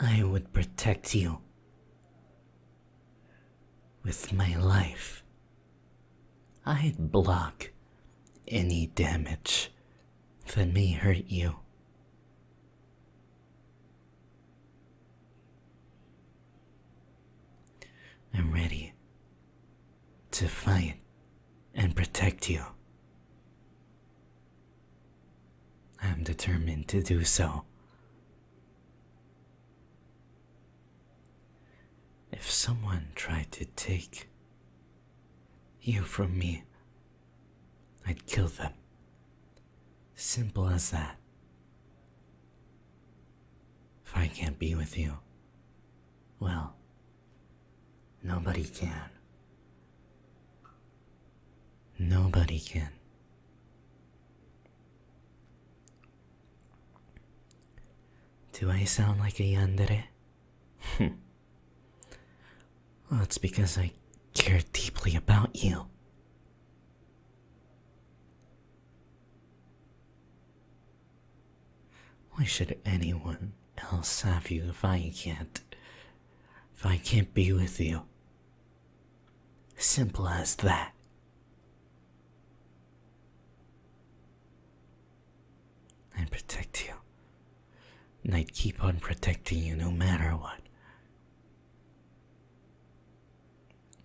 I would protect you with my life. I'd block any damage that may hurt you. I'm ready to fight and protect you. I am determined to do so. If someone tried to take you from me, I'd kill them. Simple as that. If I can't be with you, well, nobody can. Nobody can. Do I sound like a yandere? well, That's because I care deeply about you. Why should anyone else have you if I can't if I can't be with you. Simple as that. And protect you. And I'd keep on protecting you no matter what.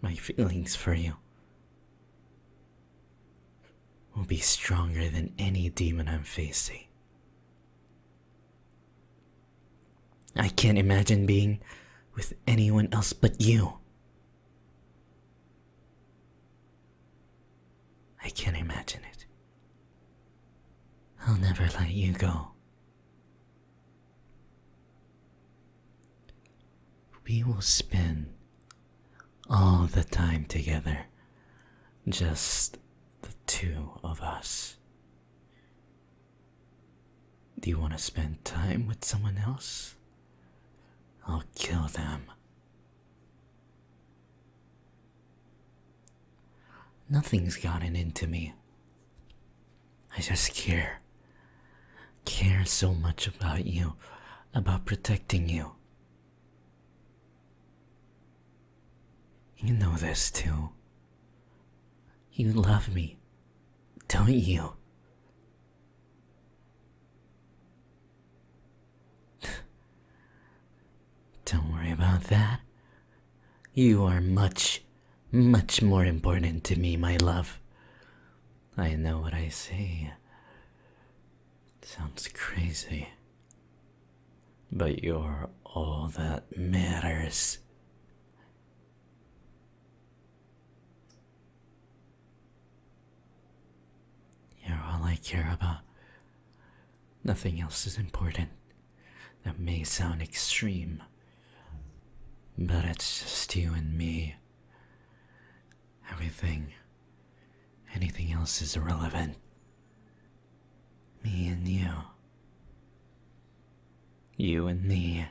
My feelings for you will be stronger than any demon I'm facing. I can't imagine being with anyone else but you. I can't imagine it. I'll never let you go. We will spend all the time together, just the two of us. Do you want to spend time with someone else? I'll kill them. Nothing's gotten into me. I just care. Care so much about you, about protecting you. You know this too. You love me, don't you? don't worry about that. You are much, much more important to me, my love. I know what I say. Sounds crazy but you're all that matters. You're all I care about. Nothing else is important. That may sound extreme, but it's just you and me. Everything, anything else is irrelevant. Me and you. You and me.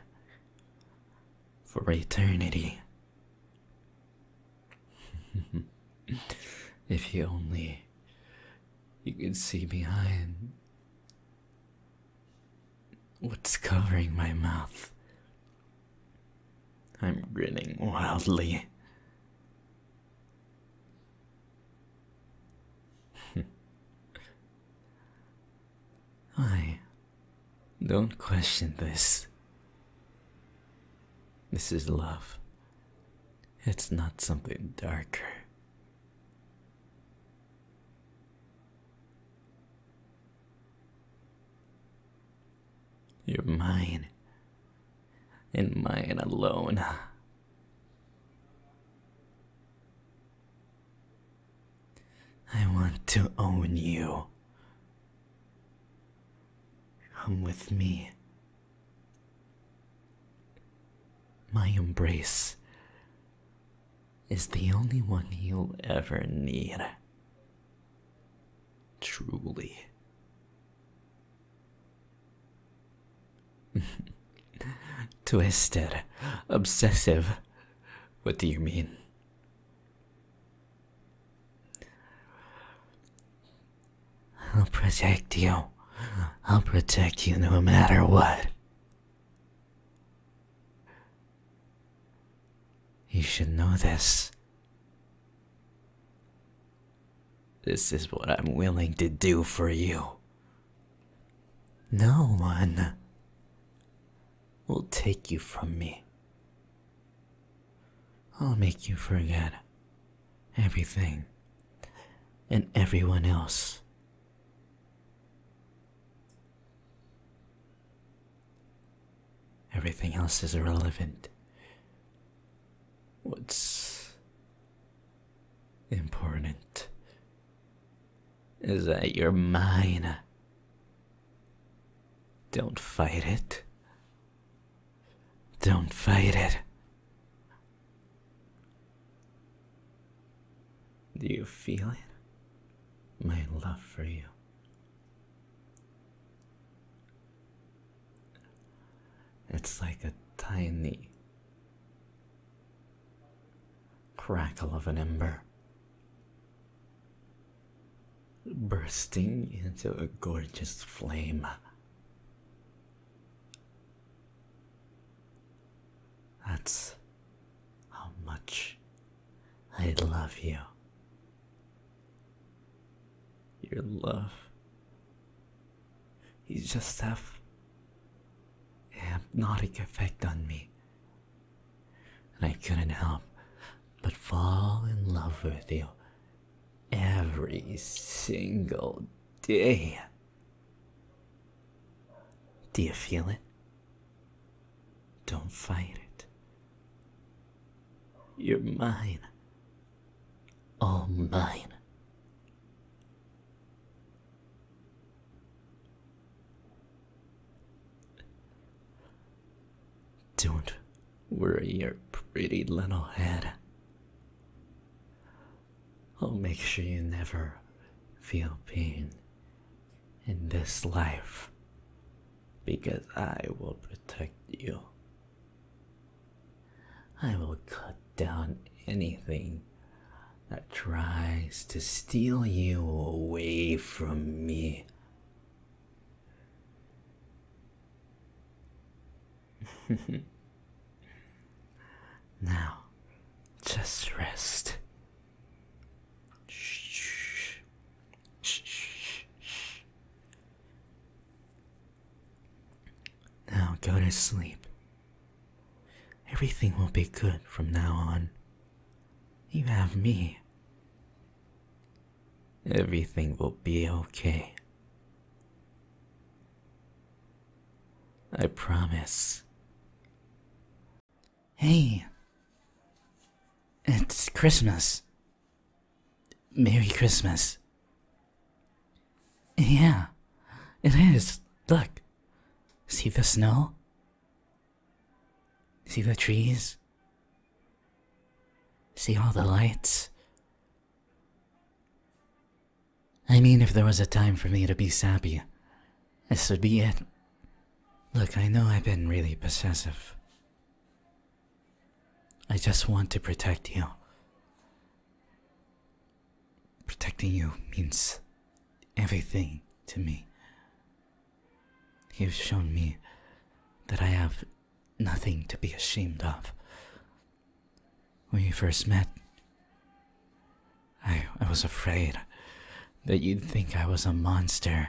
For eternity. if you only you could see behind what's covering my mouth. I'm grinning wildly. Why? Hmm. Don't question this. This is love. It's not something darker. You're mine. In mine alone. I want to own you. Come with me. My embrace is the only one you'll ever need. Truly. Twisted. Obsessive. What do you mean? I'll protect you. I'll protect you no matter what. You should know this. This is what I'm willing to do for you. No one will take you from me. I'll make you forget everything and everyone else. Everything else is irrelevant. What's important is that you're mine. Don't fight it. Don't fight it. Do you feel it? My love for you. It's like a tiny crackle of an ember bursting into a gorgeous flame. That's how much I love you. Your love. You just have a hypnotic effect on me. And I couldn't help but fall in love with you every single day. Do you feel it? Don't fight it. You're mine all mine. Don't worry your pretty little head. I'll make sure you never feel pain in this life because I will protect you I will cut down anything that tries to steal you away from me. now, just rest. Shh. Shh. Shh. Now go to sleep. Everything will be good from now on. You have me. Everything will be okay. I promise. Hey, it's Christmas. Merry Christmas. Yeah, it is. Look. See the snow? See the trees? See all the lights? I mean, if there was a time for me to be sappy, this would be it. Look, I know I've been really possessive. I just want to protect you. Protecting you means everything to me. You've shown me that I have nothing to be ashamed of. When we first met, I, I was afraid that you'd think I was a monster.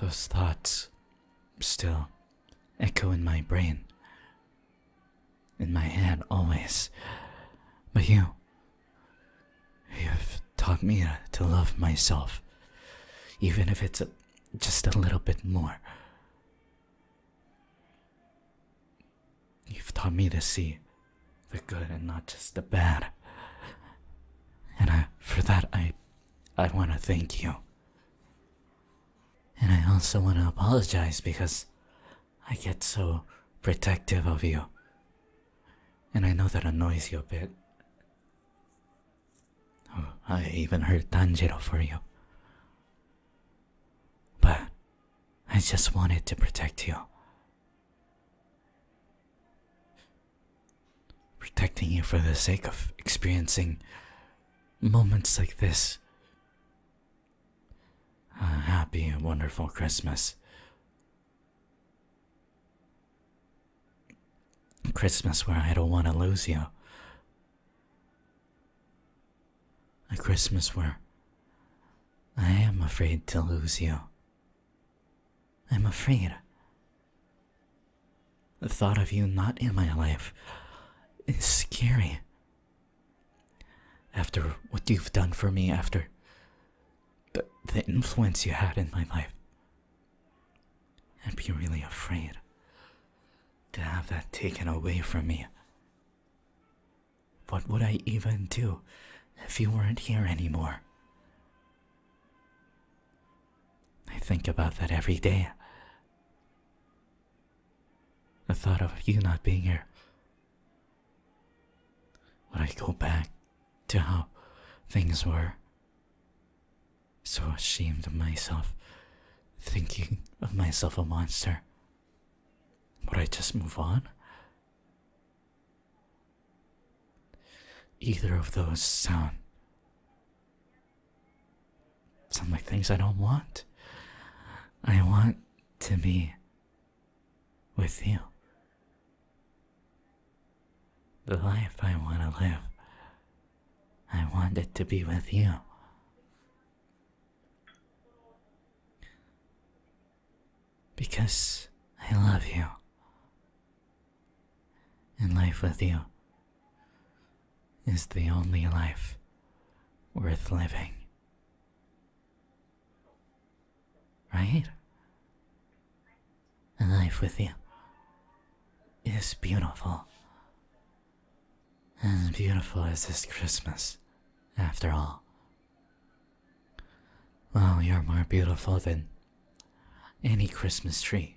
Those thoughts still echo in my brain, in my head always. But you, you've taught me uh, to love myself, even if it's just a little bit more. You've taught me to see the good and not just the bad. And I, for that, I I want to thank you. And I also want to apologize because I get so protective of you. And I know that annoys you a bit. Oh, I even hurt Tanjiro for you. But I just wanted to protect you protecting you for the sake of experiencing moments like this. A happy and wonderful Christmas. Christmas where I don't want to lose you. A Christmas where I am afraid to lose you. I'm afraid. The thought of you not in my life is scary. After what you've done for me, after the, influence you had in my life, I'd be really afraid to have that taken away from me. What would I even do if you weren't here anymore? I think about that every day. The thought of you not being here. Would I go back to how things were? So ashamed of myself, thinking of myself a monster. Would I just move on? Either of those sound sound like things I don't want. I want to be with you. The life I want to live, I want it to be with you because I love you. And life with you is the only life worth living. Right? And life with you is beautiful. As beautiful as this Christmas, after all. Well, you're more beautiful than any Christmas tree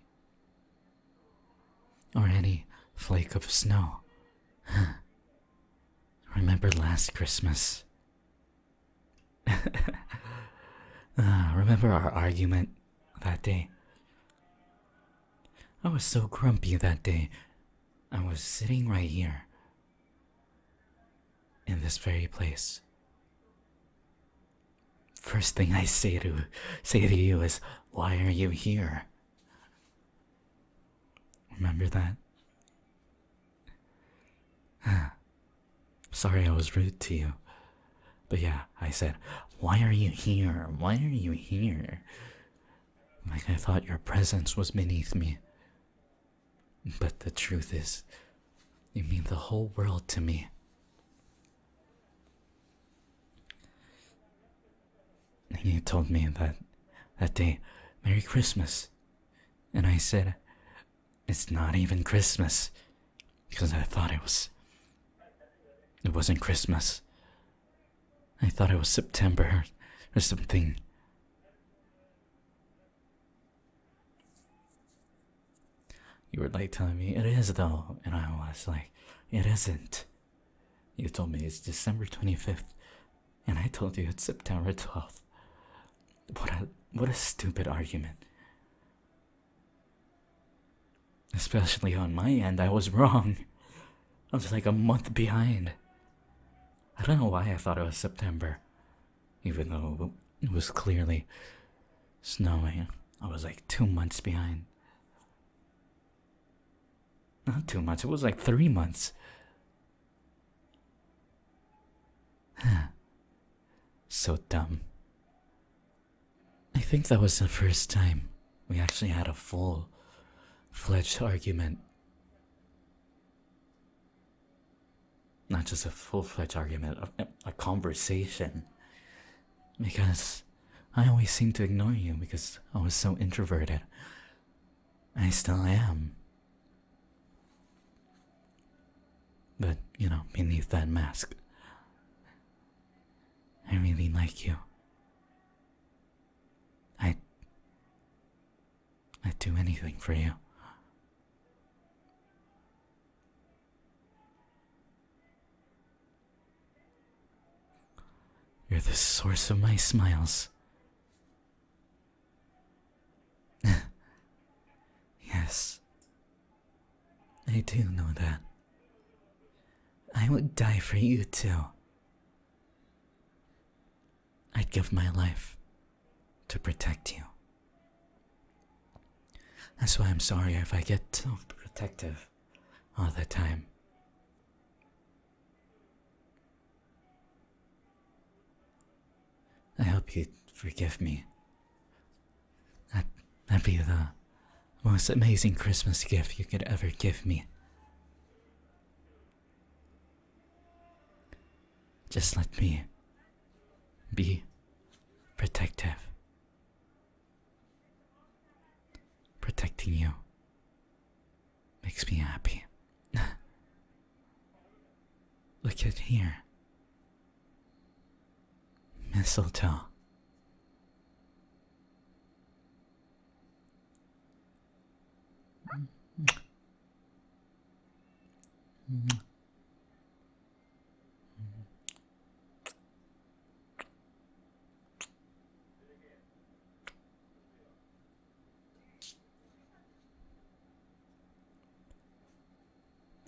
or any flake of snow. Remember last Christmas? Ah, remember our argument that day? I was so grumpy that day. I was sitting right here in this very place. First thing I say to say to you is, why are you here? Remember that? Sorry I was rude to you. But yeah, I said, why are you here? Why are you here? Like I thought your presence was beneath me. But the truth is, you mean the whole world to me. You told me that that day, Merry Christmas. And I said, It's not even Christmas. Because I thought it was. It wasn't Christmas. I thought it was September or something. You were like telling me it is though, and I was like, it isn't. You told me it's December 25th, and I told you it's September 12th. What a what a stupid argument. Especially on my end, I was wrong. I was like a month behind. I don't know why I thought it was September even though it was clearly snowing. I was like two months behind. Not two months, it was like three months. so dumb. I think that was the first time we actually had a full fledged argument. Not just a full fledged argument, a, conversation. Because I always seemed to ignore you because I was so introverted. I still am. But, you know, beneath that mask, I really like you. I. I'd do anything for you. You're the source of my smiles. yes, I do know that. I would die for you too. I'd give my life to protect you. That's why I'm sorry if I get so protective all the time. I hope you forgive me. That, that'd be the most amazing Christmas gift you could ever give me. Just let me be protective. Protecting you makes me happy. Look at here. Mistletoe. Mm-hmm.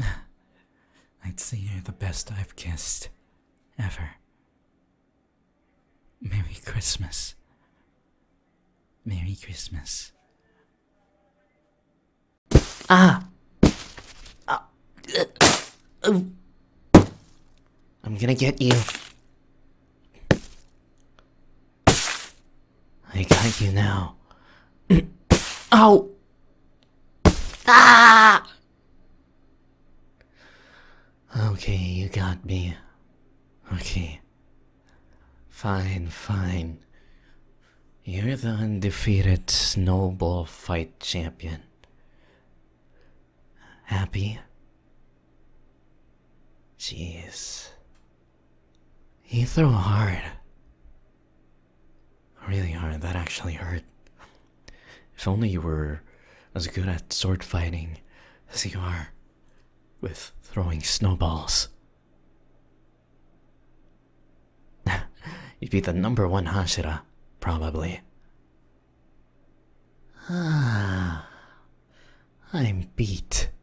I'd say you're the best I've kissed ever. Merry Christmas. Merry Christmas. Ah! ah. I'm gonna get you. I got you now. Ow! Ah! Okay, you got me. Okay. Fine, fine. You're the undefeated snowball fight champion. Happy? Jeez. You throw hard. Really hard, that actually hurt. If only you were as good at sword fighting as you are with throwing snowballs. You'd be the number one Hashira, probably. Ah, I'm beat.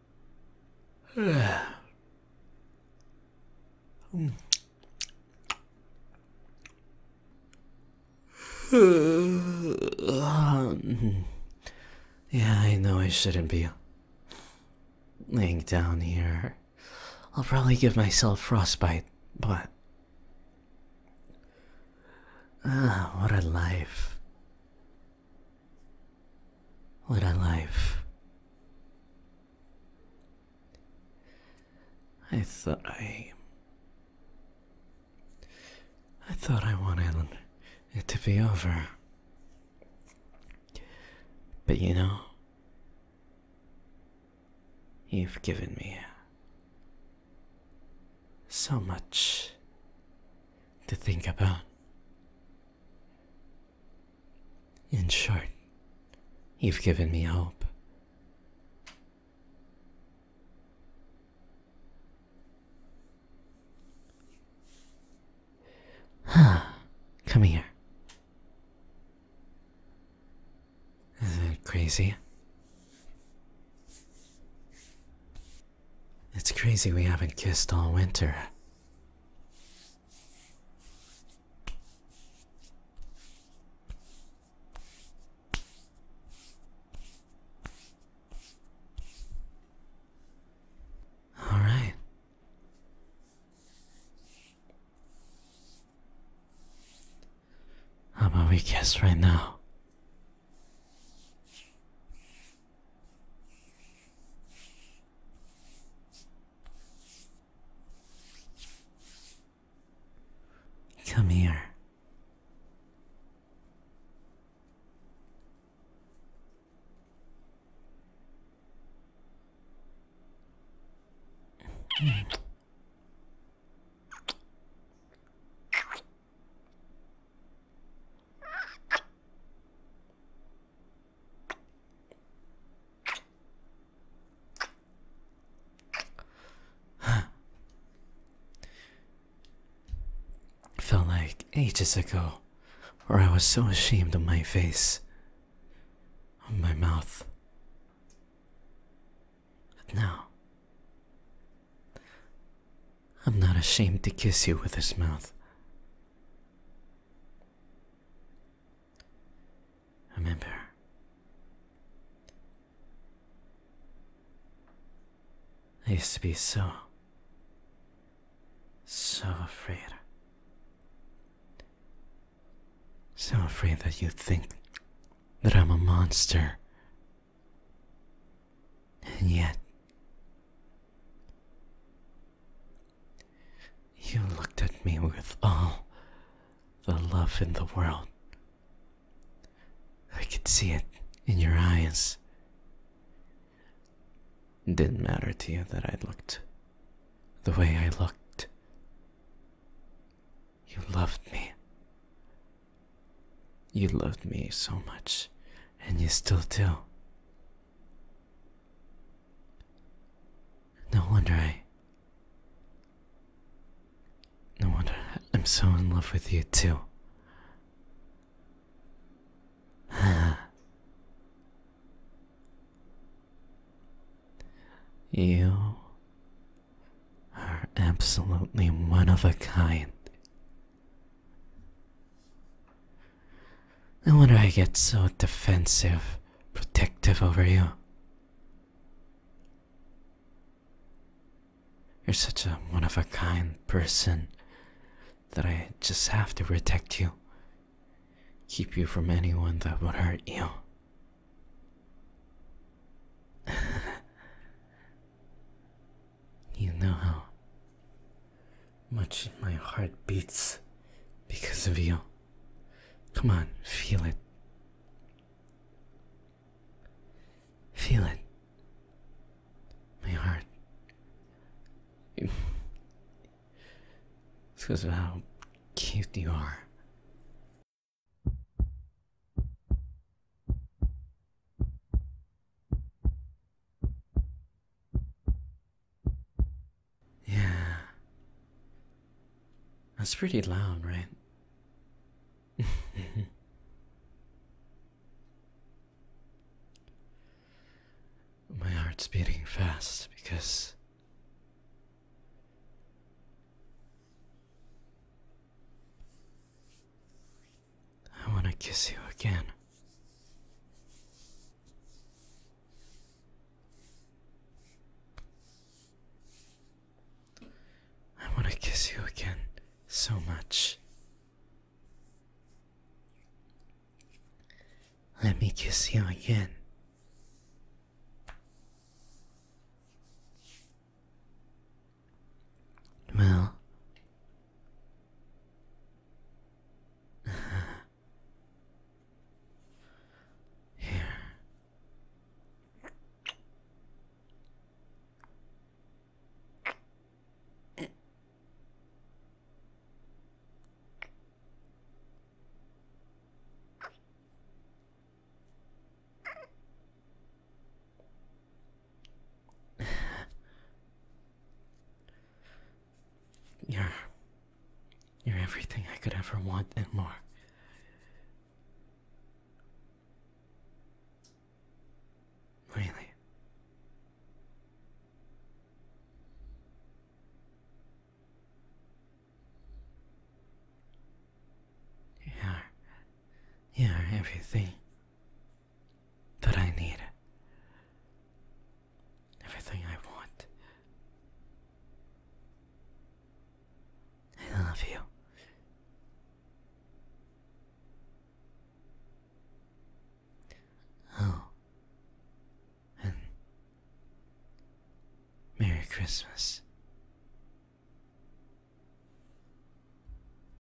yeah, I know I shouldn't be laying down here. I'll probably give myself frostbite, but. Ah, what a life. What a life. I thought I. I thought I wanted it to be over. But you know, you've given me so much to think about. In short, you've given me hope. Huh, come here. Is Isn't it crazy? It's crazy we haven't kissed all winter. All right. How about we guess right now? Come here. It Felt like ages ago, where I was so ashamed of my face, of my mouth. now, I'm not ashamed to kiss you with this mouth. Remember, I used to be so, so afraid. So afraid that you would think that I'm a monster. And yet, you looked at me with all the love in the world. I could see it in your eyes. didn't matter to you that I looked the way I looked. You loved me. You loved me so much, and you still do. No wonder I. No wonder I'm so in love with you, too. you are absolutely one of a kind. I wonder I get so defensive, protective over you. You're such a one of a kind person that I just have to protect you, keep you from anyone that would hurt you. You know how much my heart beats because of you. Come on, feel it. Feel it. My heart. It's because of how cute you are. Yeah. That's pretty loud, right? My heart's beating fast because I want to kiss you again. I want to kiss you again so much. Let me kiss you again. Well. Here you're you're everything I could ever want and more. Really? You are, everything that I need. Everything I want. I love you. Oh. And Merry Christmas.